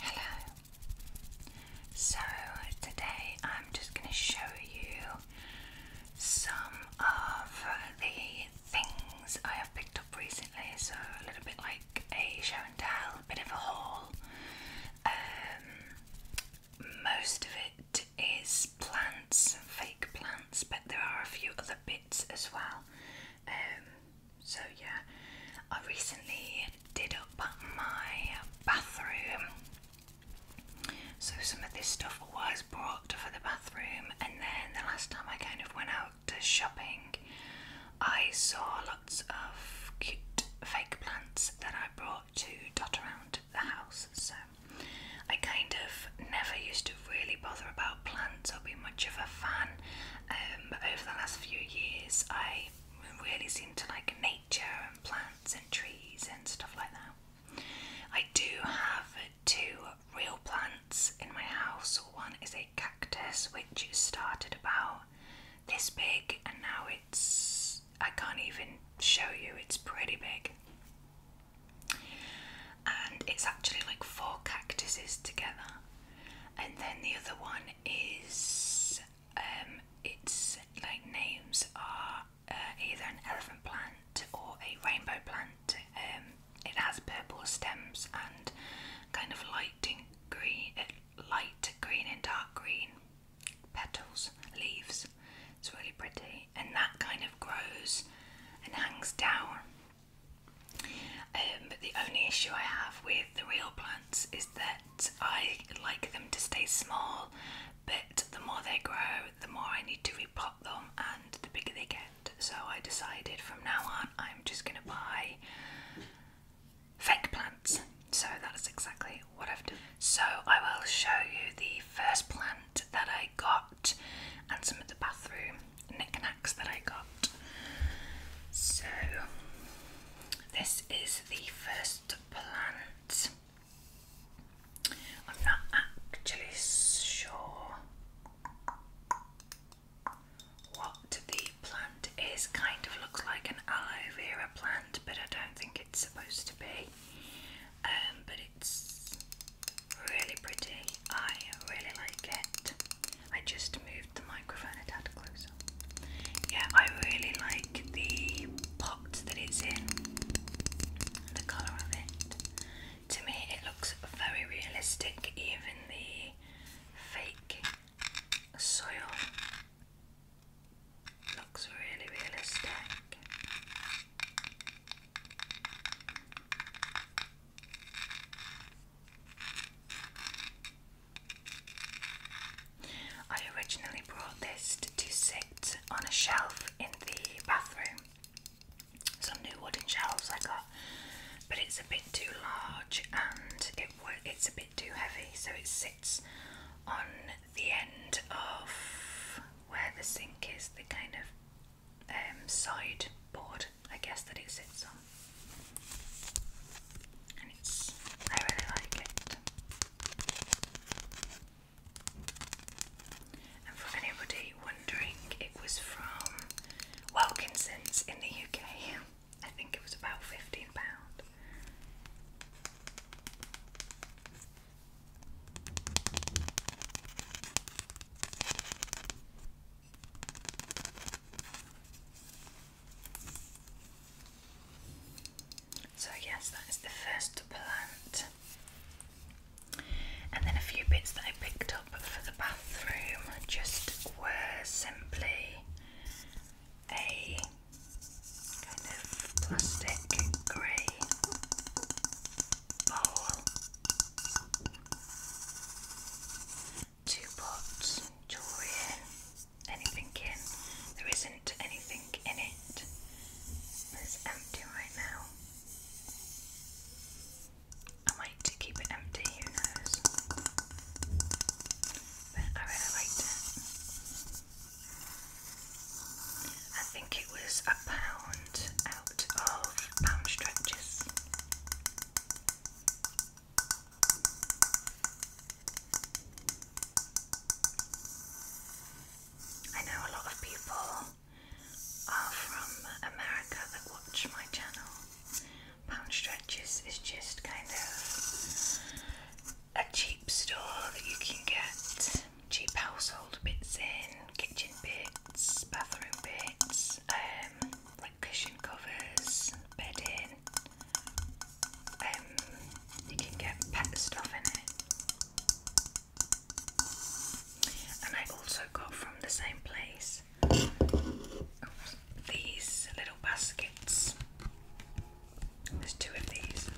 Hello. So today I'm just going to show you some of the things I have picked up recently. So a little bit like a show and tell, a bit of a haul. Um, most of it is plants, fake plants, but there are a few other bits as well. Um, so yeah, I recently did up my bathroom. So some of this stuff was brought for the bathroom, and then the last time I kind of went out to shopping, I saw lots of cute fake plants that I brought to dot around the house. So I kind of never used to really bother about plants or be much of a fan, um, but over the last few years, I really seem to like nature and plants and trees and stuff like that. I do have two real plants in my house. One is a cactus which started about this big and now it's I can't even show you, it's pretty big. And it's actually like four cactuses together. And then the other one is um, its like names are uh, either an elephant plant or a rainbow plant. Um, it has purple stems and kind of light green, uh, light green and dark green petals, leaves. It's really pretty, and that kind of grows and hangs down. Um, but the only issue I have with the real plants is that I like them to stay small, but the more they grow, the more I need to repot them and the bigger they get. So I decided from now on I'm just going to buy fake plants. So that's exactly what I've done. So I will show you the first plant that I got and some of the bathroom knickknacks that I got. So this is the first plant. I'm not actually sure what the plant is. Kind of looks like an aloe vera plant, but I don't think it's supposed to be. Um, but it's really pretty. I really like it. I just moved the microphone a tad closer. Yeah, I really like the pot that it's in, the colour of it. To me, it looks very realistic, even the fake soil looks really realistic. I originally brought this to sit on a shelf in the bathroom. Some new wooden shelves I got, but it's a bit too large and it it's a bit too heavy, so it sits on the end of where the sink is, the kind of um, I guess, that it sits I really like it. And for anybody wondering, it was from Wilkinson's in the UK. I think it was about £15. So, yes, that is the first plant. And then a few bits that I picked up for the bathroom just were simply a kind of plastic grey bowl to put jewellery anything in. There isn't anything in it. It's empty right now. I like to keep it empty, who knows? But I I think it was a pound out of pound stretches. I know a lot of people are from America that watch my channel. Pound is just kind of a cheap store that you can get cheap household bits in, kitchen bits, bathroom bits, um, like cushion covers, bedding, um, you can get pet stuff in it. And I also got from the same place these little baskets. There's two of these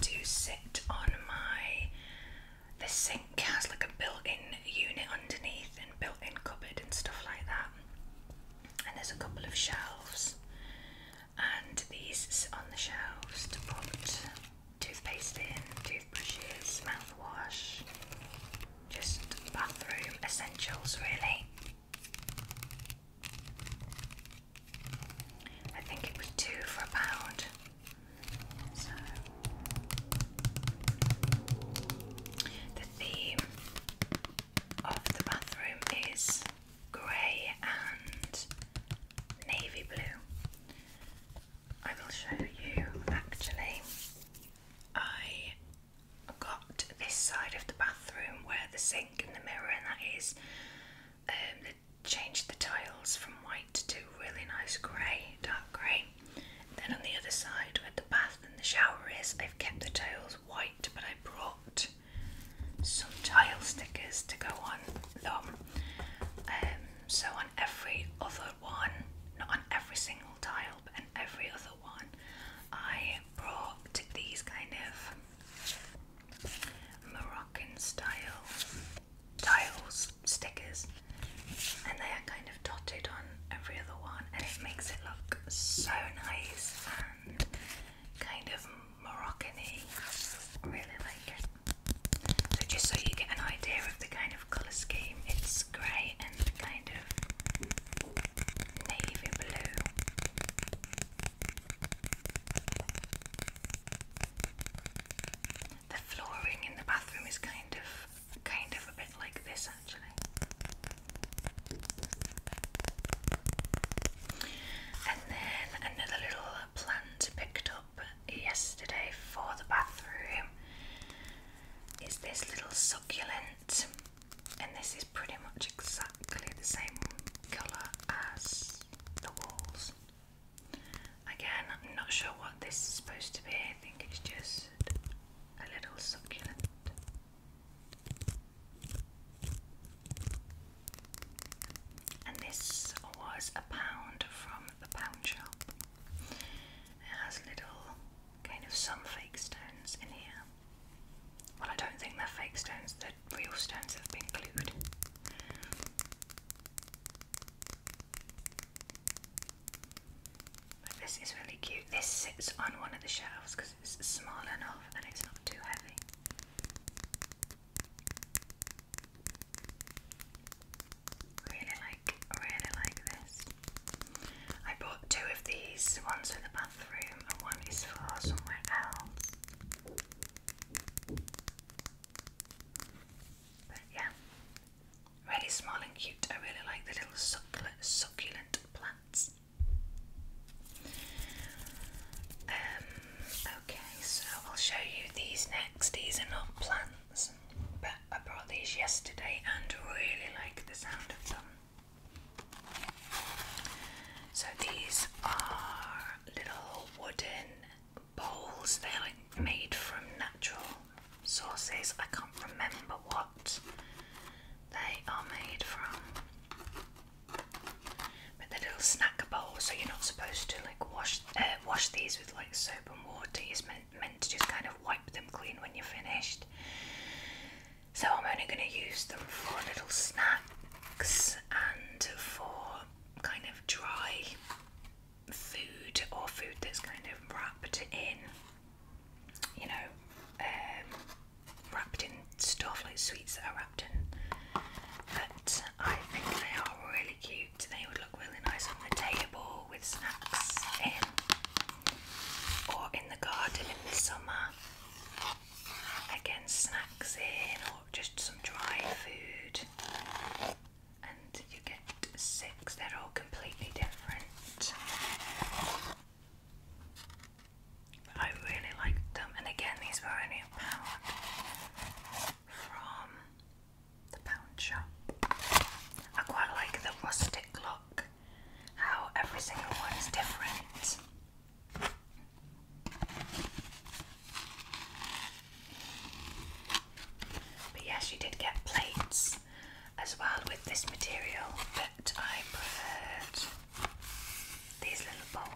to sit on my. The sink has like a built in unit underneath and built in cupboard and stuff like that and there's a couple of shelves, and these on the shelves to put toothpaste in, toothbrushes, mouthwash, just bathroom essentials, really. I think it was two for a pound. So the theme of the bathroom is grey and navy blue. I will show you actually. I got this side of the bathroom where the sink and the mirror and that is. Um, changed the tiles from white to really nice grey, dark grey. Then on the other side where the bath and the shower is, they have kept the tiles white, but I brought some tile stickers to go on them. Um, so on every other one, not on every single tile, but on every other one, I brought these kind of Moroccan style tiles stickers, and they are kind of dotted on every other one, and it makes it look so nice kind of Moroccan-y. really like it. So just so you get an idea of the kind of colour scheme, it's grey and kind of navy blue. The flooring in the bathroom is kind of kind of a bit like this actually. And then another little plant picked up yesterday for the bathroom is this little succulent, and this is pretty much exactly the same colour as the walls. Again, I'm not sure what this is supposed to be, I think it's just a little succulent. And this was a pound from the pound shop. It has little kind of some fake stones in here. Well, I don't think they're fake stones, they real stones have been glued. But this is really cute. This sits on one of the shelves it's small enough and it's not too heavy. Really like, really like this. I bought two of these, one's for the bathroom and one is for somewhere else. But yeah, really small and cute. I really like the little succulent plants. Um, okay, so I'll show you these next. These are not plants, but I brought these yesterday and really like the sound of them. So these are little wooden bowls. They're like made from natural sources. I can't remember what they are made from. But the little snack bowl, so you're not supposed to like wash uh, wash these with like soap and water. It's meant meant to just kind of wipe them clean when you're finished. So I'm only going to use them for little snacks and for kind of dry food or food that's kind of wrapped in, you know, um, wrapped in stuff like sweets that are wrapped in. But I think they are really cute. They would look really nice on the table with snacks in, or in the garden in the summer. Again, snacks in, or just some dry food. And you get six, they're all completely different. I really liked them, and again, these were only a pound from the pound shop. I quite like the rustic look, how every single one is different. But yes, you did get plates as well with this material, but I preferred these little bowls.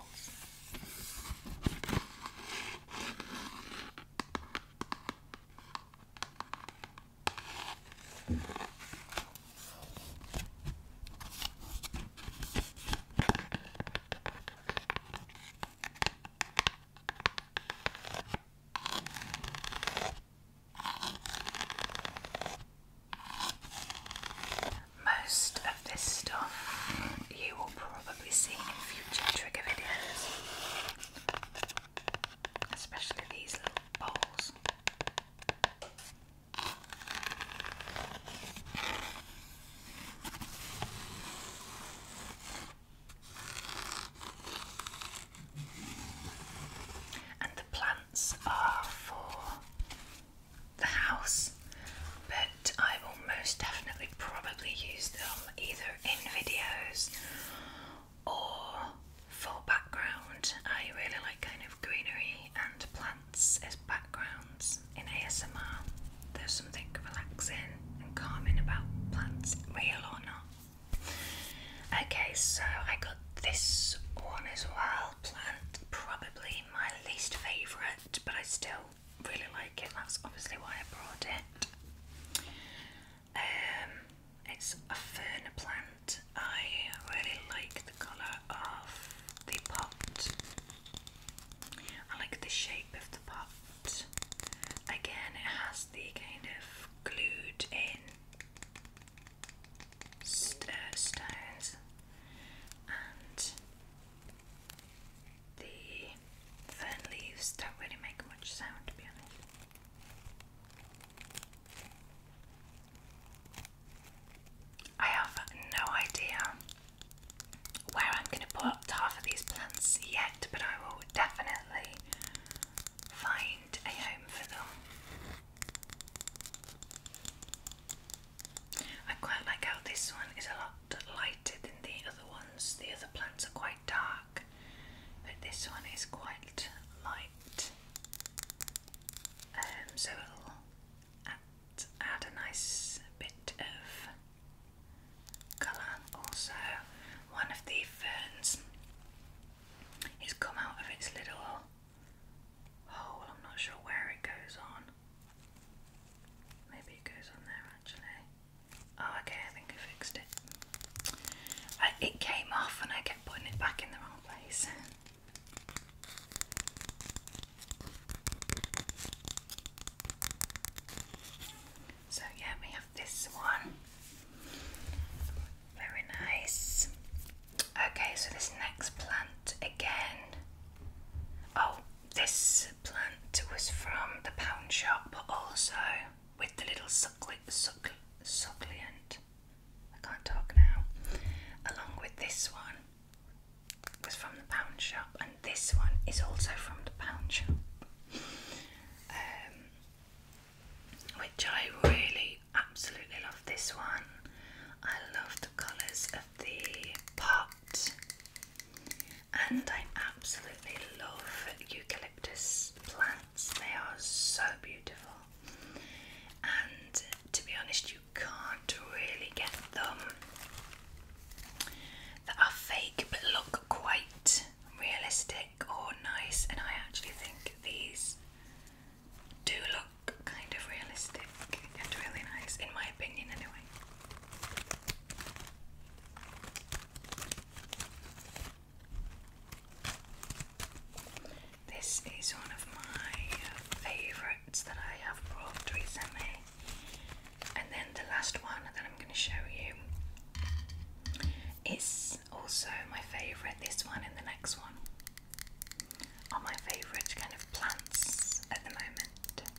Most of this stuff you will probably see in future trigger videos, especially these little bowls. And the plants are for the house, but I will most definitely probably use them either in videos or for background. I really like kind of greenery and plants as backgrounds in ASMR. There's something relaxing and calming about plants, real or not. Okay, so I got this one as well. Plant, probably my least favourite but I still really like it. That's obviously why I brought it. Um, it's a fern plant. I really like the colour of the pot. I like the shape of the pot. Again, it has the kind of glued in uh, stones the fern leaves don't really make much sound to be honest. I have no idea where I'm going to put half of these plants yet, but I will definitely find a home for them. I quite like how this one is a lot lighter than the other ones. The other plants are quite dark, but this one is quite light. Um, so it'll add a nice bit of colour. Also, one of the ferns has come out of its little hole. I'm not sure where it goes on. Maybe it goes on there actually. Oh, okay, I think I fixed it. it came off and I kept putting it back in the wrong place. So, yeah, we have this one. Very nice. Okay, so this next plant again. Oh, this plant was from the pound shop, but also with the little succle succulent. I can't talk now. Along with this one was from the pound shop, and this one is also from the pound shop, um, which I really absolutely love. This one, I love the colours of the pot and I absolutely love eucalyptus plants. They are so beautiful. And to be honest, you can't really get them that are fake but look quite realistic or nice. And I actually think these do look kind of realistic and really nice, in my opinion, anyway. This is one of my favorites that I have brought recently, and then the last one that I'm going to show you is also my favorite. This one and the next one are my favorite kind of plants at the moment. I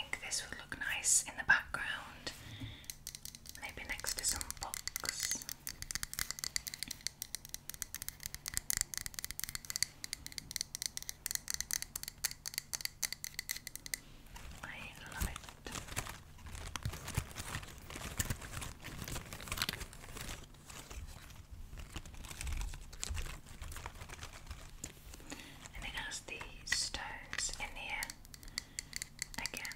think this would look nice in the background maybe next to some books. I love And it has the stones in here Again,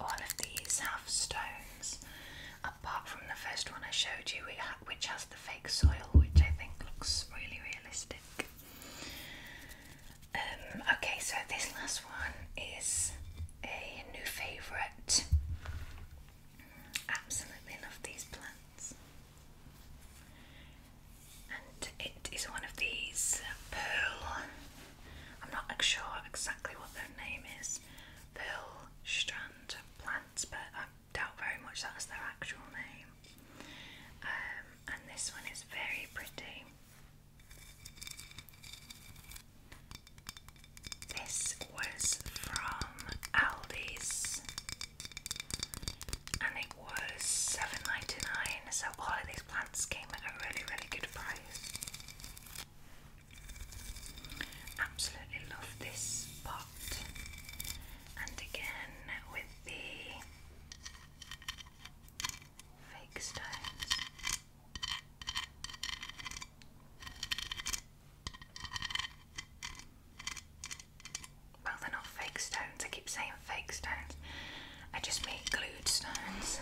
all of these have stones, apart from the first one I showed you, which has the fake soil, which I think looks really realistic. Um, okay, so this last one is a new favourite. Absolutely love these plants. And it is one of these pearl I'm not sure exactly what their name is, Bill Strand Plants, but I doubt very much that's their actual name. Um, and this one is very pretty. This was from Aldi's and it was 7 so all these plants came at a really really good price. Absolutely love this pot, and again with the fake stones. Well, they're not fake stones, I keep saying fake stones, I just mean glued stones.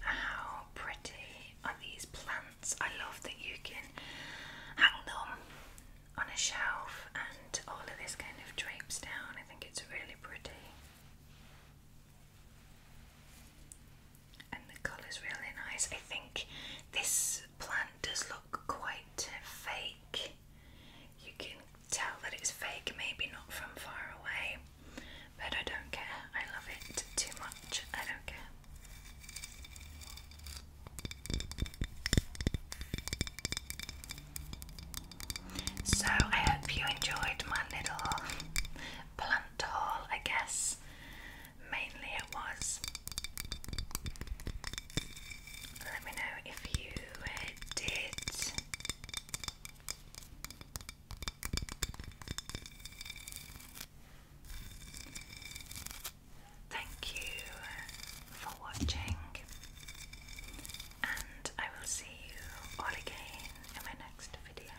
How pretty are these plants? I love that you can hang them on a shelf and all of this kind of drapes down. I think it's really pretty and the colour's really nice. I think this plant does look quite fake. You can tell that it's fake, maybe not from far away, but I don't care. I love it too much. I don't care. So, I hope you enjoyed my little plant haul, I guess mainly it was. Let me know if you did. Thank you for watching, and I will see you all again in my next video.